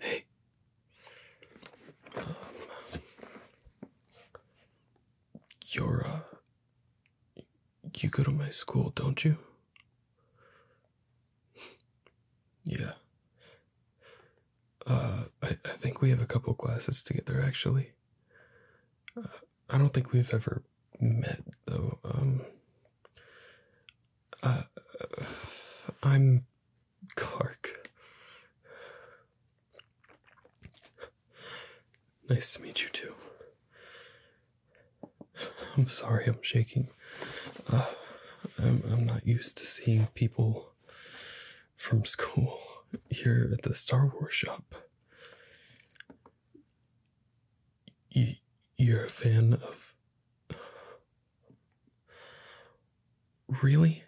Hey. you're you go to my school, don't you? yeah. Uh, I, I think we have a couple classes together actually. Uh, I don't think we've ever met though. Um, uh, I'm Clark. Nice to meet you too. I'm sorry, I'm shaking. Uh, I'm, I'm not used to seeing people from school here at the Star Wars shop. You, you're a fan of. Really?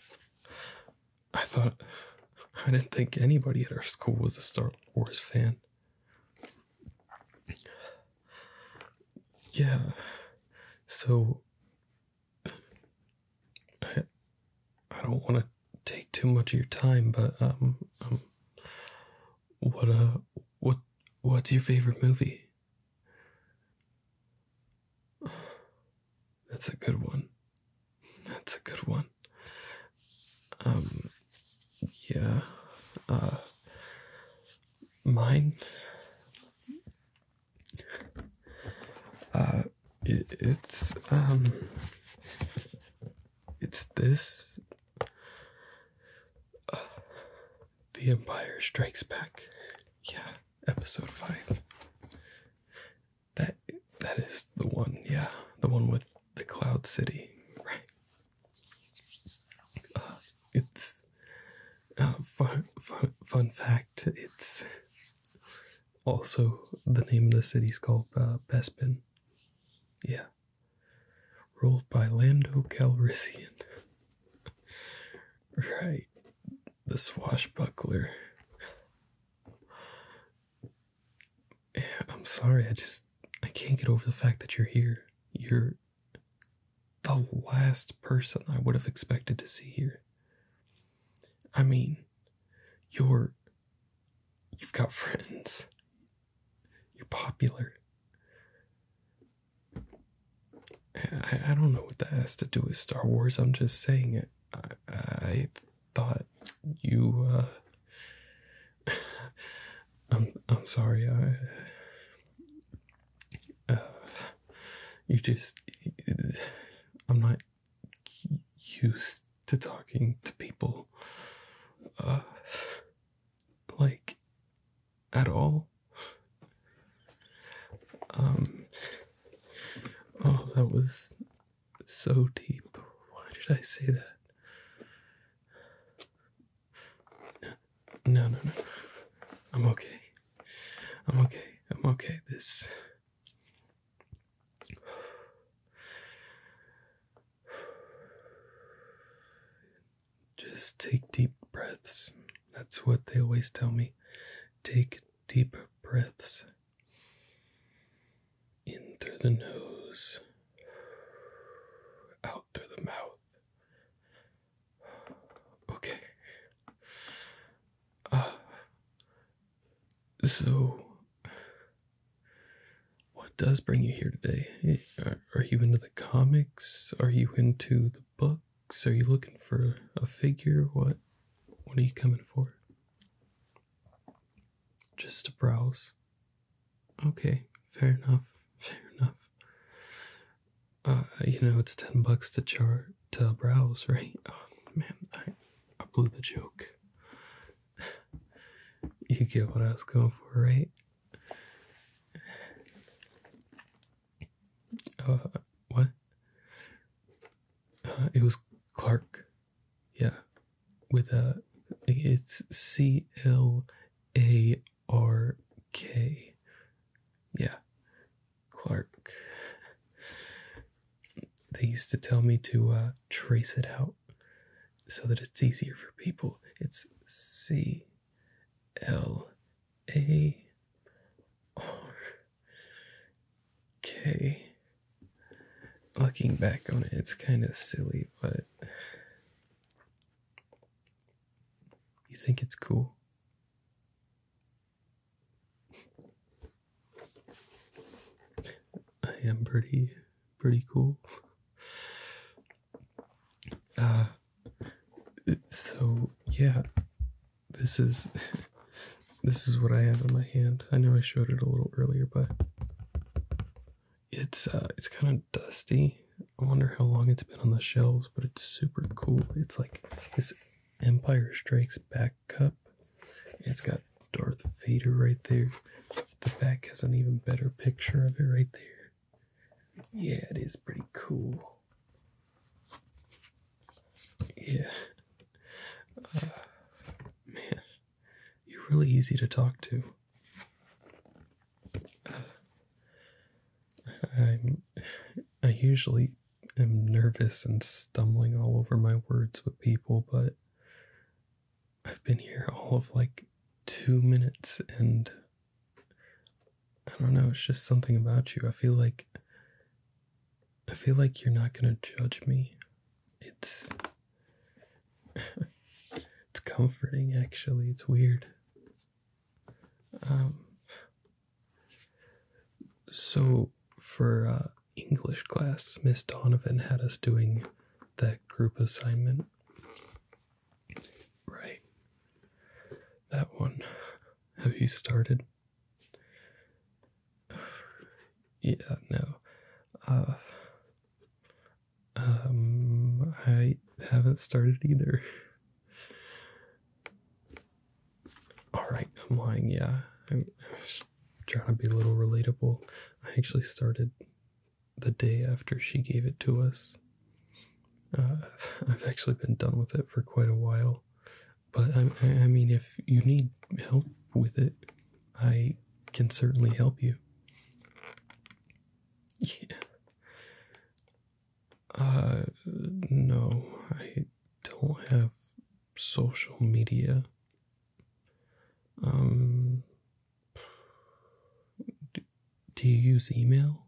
I thought. I didn't think anybody at our school was a Star Wars fan yeah so i i don't want to take too much of your time but um, um, what uh what what's your favorite movie that's a good one that's a good one um, yeah, uh, mine, uh, it's, um, it's this, The Empire Strikes Back, yeah, episode 5, that, that is the one, yeah, the one with the Cloud City, right? Uh, it's uh, fun, fun, fun fact. It's also the name of the city's called uh, Bespin. Yeah, ruled by Lando Calrissian. right, the swashbuckler. I'm sorry, I just I can't get over the fact that you're here. You're the last person I would have expected to see here. I mean, you're you've got friends. You're popular. I, I don't know what that has to do with Star Wars. I'm just saying it. I, I thought you uh I'm I'm sorry I uh, you just I'm not used to talking to people uh like at all um oh that was so deep. Why did I say that? No, no, no, no. I'm okay. I'm okay. I'm okay. This. Just take deep breaths. That's what they always tell me. Take deep breaths. In through the nose, out through the mouth. Okay. Uh, so, what does bring you here today? Eh, are you into the comics? Are you into the books? Are you looking for a figure? What? What are you coming for? Just to browse. Okay, fair enough, fair enough. Uh, you know, it's 10 bucks to chart to browse, right? Oh, man, I, I blew the joke. you get what I was going for, right? Uh, what? Uh, it was Clark. Yeah. With a. It's C L A R K. Yeah. Clark. They used to tell me to uh, trace it out so that it's easier for people. It's C L A R Okay. Looking back on it, it's kind of silly, but you think it's cool? I am pretty, pretty cool. Uh, so yeah, this is this is what I have in my hand. I know I showed it a little earlier, but it's uh it's kind of dusty. I wonder how long it's been on the shelves, but it's super cool. It's like this Empire Strikes Back cup. It's got Darth Vader right there. The back has an even better picture of it right there. Yeah, it is pretty cool. Yeah, uh, man, you're really easy to talk to. Uh, I'm. I usually am nervous and stumbling all over my words with people, but I've been here all of like two minutes and. I don't know, it's just something about you. I feel like I feel like you're not gonna judge me. It's it's comforting actually. It's weird. Um so for uh, English class, Miss Donovan had us doing that group assignment. Right. That one. Have you started? yeah, no. Uh, um, I haven't started either. All right, I'm lying. Yeah, I'm, just trying to be a little relatable. I actually started the day after she gave it to us. Uh, I've actually been done with it for quite a while. But I, I mean, if you need help with it, I can certainly help you. Yeah. Uh, no, I don't have social media. Um, do you use email?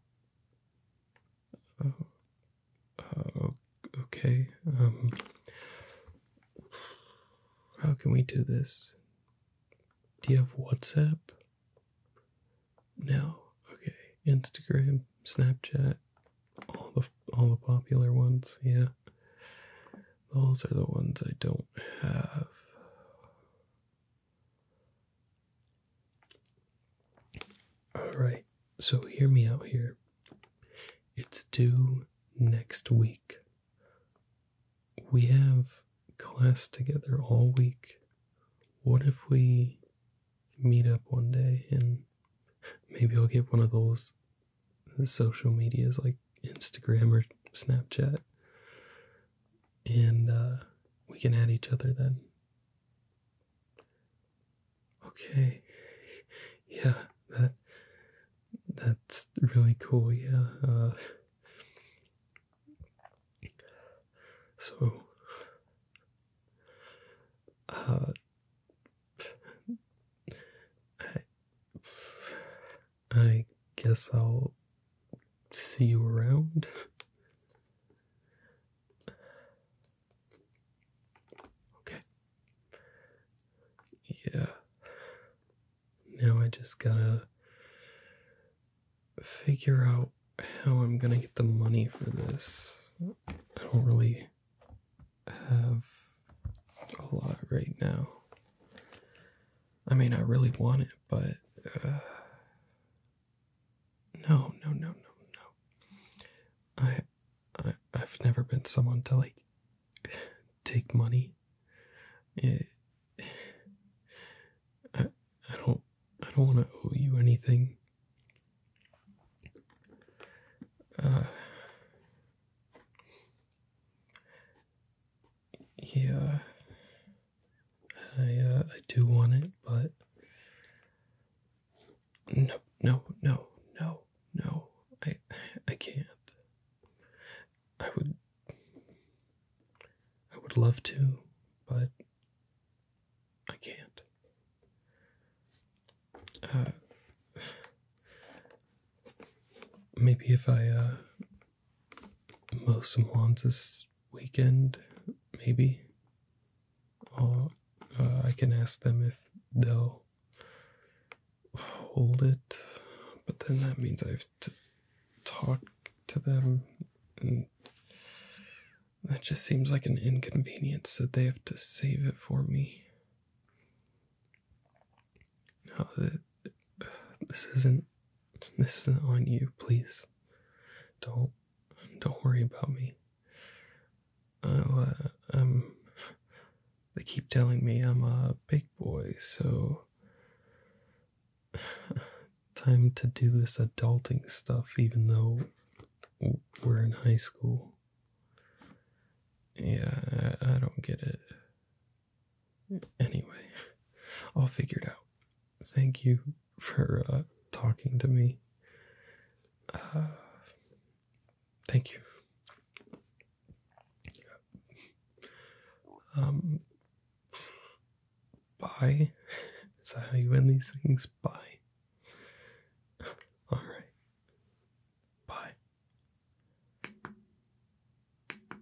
Oh, okay. Um, how can we do this? Do you have WhatsApp? No. Okay. Instagram, Snapchat, all the all the popular ones. Yeah. Those are the ones I don't have. All right, so hear me out here. It's due next week. We have class together all week. What if we meet up one day and maybe I'll get one of those social medias like Instagram or Snapchat and uh, we can add each other then? Okay. Yeah, that that's really cool, yeah. Uh. so uh, I I guess I'll see you around. Okay. Yeah. Now I just gotta figure out how I'm gonna get the money for this. I don't really have a lot right now. I mean, I really want it, but uh, no, no, no, no, no. I, I I've never been someone to like take money. It, I I don't I don't want to owe you anything. Uh, yeah, I uh, I do want it, but no, no, no, no, no, I I can't. I would I would love to, but I can't. Uh, maybe if I uh, most Swans this weekend, maybe. Uh, uh, i can ask them if they'll hold it, but then that means I have to talk to them, and that just seems like an inconvenience that they have to save it for me. Now that this isn't this isn't on you, please. Don't don't worry about me. I'll, uh, um, they keep telling me I'm a big boy, so time to do this adulting stuff, even though we're in high school. Yeah, I don't get it. Anyway, I'll figure it out. Thank you for uh, talking to me. Uh, thank you. Um, bye. Is that how you end these things? Bye. All right. Bye.